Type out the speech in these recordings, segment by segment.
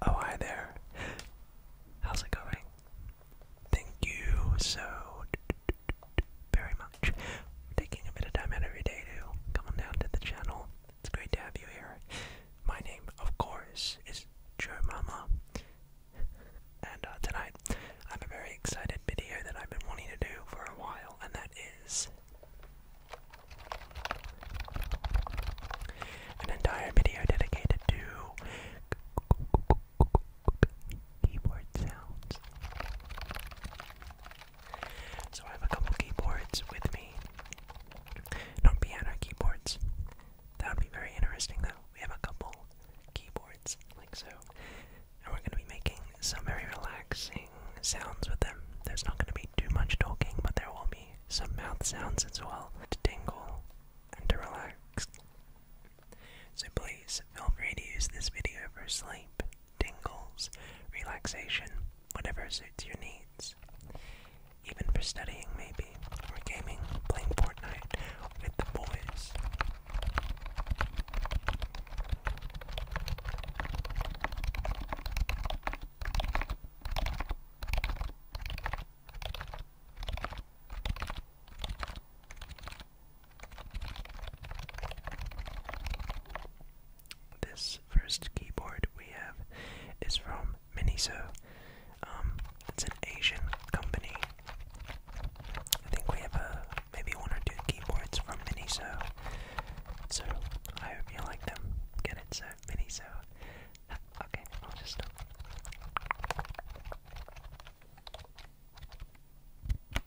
Oh, hi there. How's it going? Thank you so very much taking a bit of time out of to come on down to the channel. It's great to have you here. My name, of course, is Joe Mama. And uh, tonight, I have a very excited video that I've been wanting to do for a while, and that is an entire video dedicated to keyboard sounds. So I have a couple keyboards with me. Not piano keyboards. That would be very interesting though. We have a couple keyboards, like so. And we're gonna be making some very relaxing sounds with them. There's not gonna be too much talking, but there will be some mouth sounds as well to tingle and to relax. So please feel free to use this video for sleep tingles, relaxation, whatever suits your needs. Even for studying, maybe, or gaming, playing Fortnite with the boys. This first keyboard we have is from Miniso. Um, it's an Asian company. I think we have a uh, maybe one or two keyboards from Miniso. So I hope you like them. Get it, so Miniso. okay, I'll just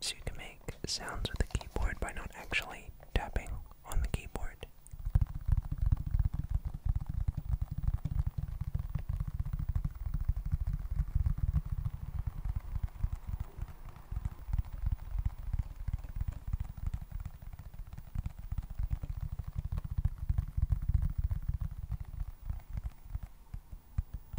So you can make sounds with the keyboard by not actually tapping on the keyboard.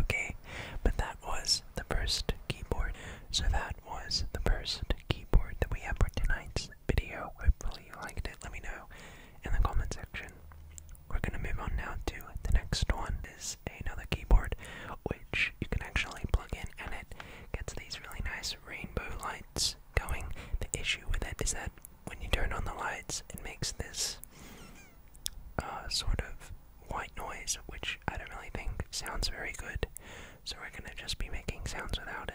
Okay, but that was the first keyboard. So that was the first keyboard that we have for tonight's video. Hopefully you liked it. Let me know in the comment section. We're gonna move on now to the next one is another keyboard which you can actually plug in and it gets these really nice rainbow lights going. The issue with it is that when you turn on the lights it makes this uh, sort of white noise which I don't really think sounds very good. So we're gonna just be making sounds without it.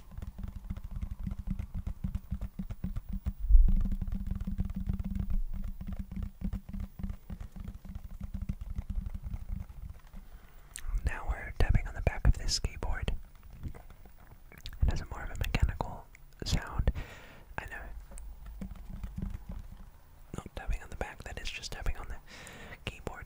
Now we're tapping on the back of this skateboard. It has a more of a mechanical sound. I know. Not tapping on the back, that is just tapping on the keyboard.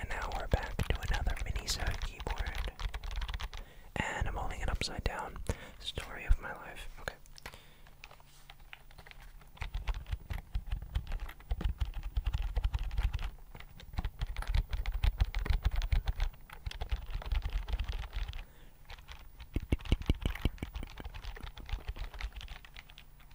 and now we're back to another mini keyboard. And I'm holding it upside down. Story of my life. Okay.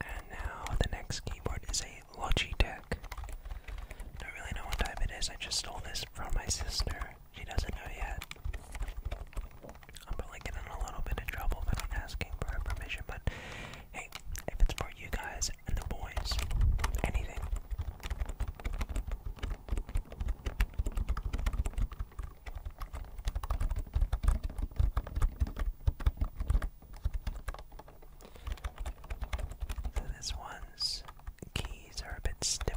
And now the next keyboard is a Logitech. Don't really know what type it is. I just stole this from my sister. She doesn't know yet. I'm probably getting a little bit of trouble if I'm asking for permission, but hey, if it's for you guys and the boys, anything this one's keys are a bit stiffer.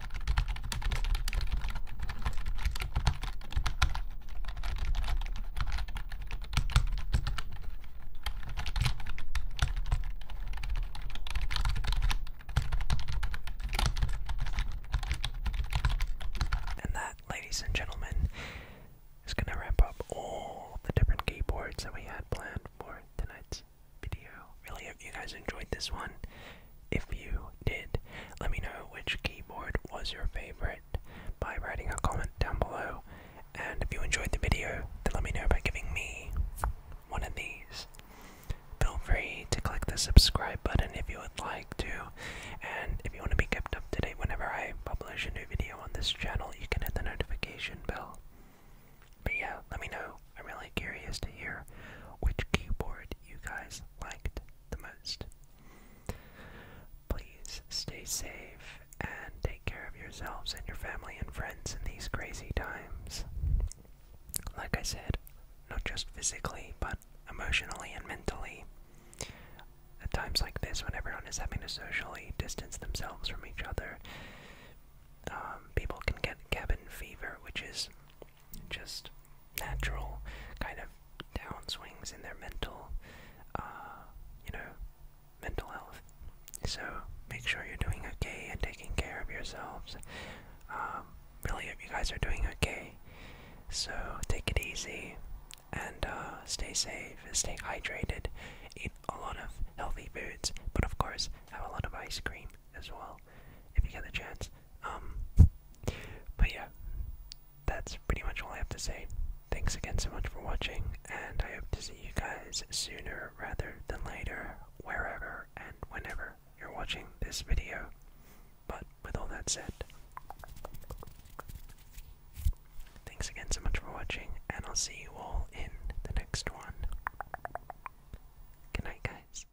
And that, ladies and gentlemen, is going to wrap up all the different keyboards that we had planned for tonight's video. Really hope you guys enjoyed this one if you did. Let me know which keyboard was your favorite by writing a comment down below. And if you enjoyed the video, then let me know by giving me one of these. Feel free to click the subscribe button if you would like to. And if you want to be kept up to date whenever I publish a new video on this channel, you can hit the notification bell. But yeah, let me know. I'm really curious to hear which keyboard you guys liked the most. Please stay safe and take care of yourselves and your family and friends in these crazy times. Like I said, not just physically, but emotionally and mentally. At times like this, when everyone is having to socially distance themselves from each other, um, people can get cabin fever, which is just natural kind of downswings in their mental, uh, you know, mental health. So make sure you're doing okay and taking care of yourselves. Um, really hope you guys are doing okay. So take it easy and uh, stay safe, stay hydrated, eat a lot of healthy foods, but of course have a lot of ice cream as well if you get the chance. Um, but yeah, that's pretty much all I have to say. Thanks again so much for watching, and I hope to see you guys sooner rather than later, wherever and whenever you're watching this video. But with all that said, thanks again so much for watching, and I'll see you all in the next one. Good night, guys.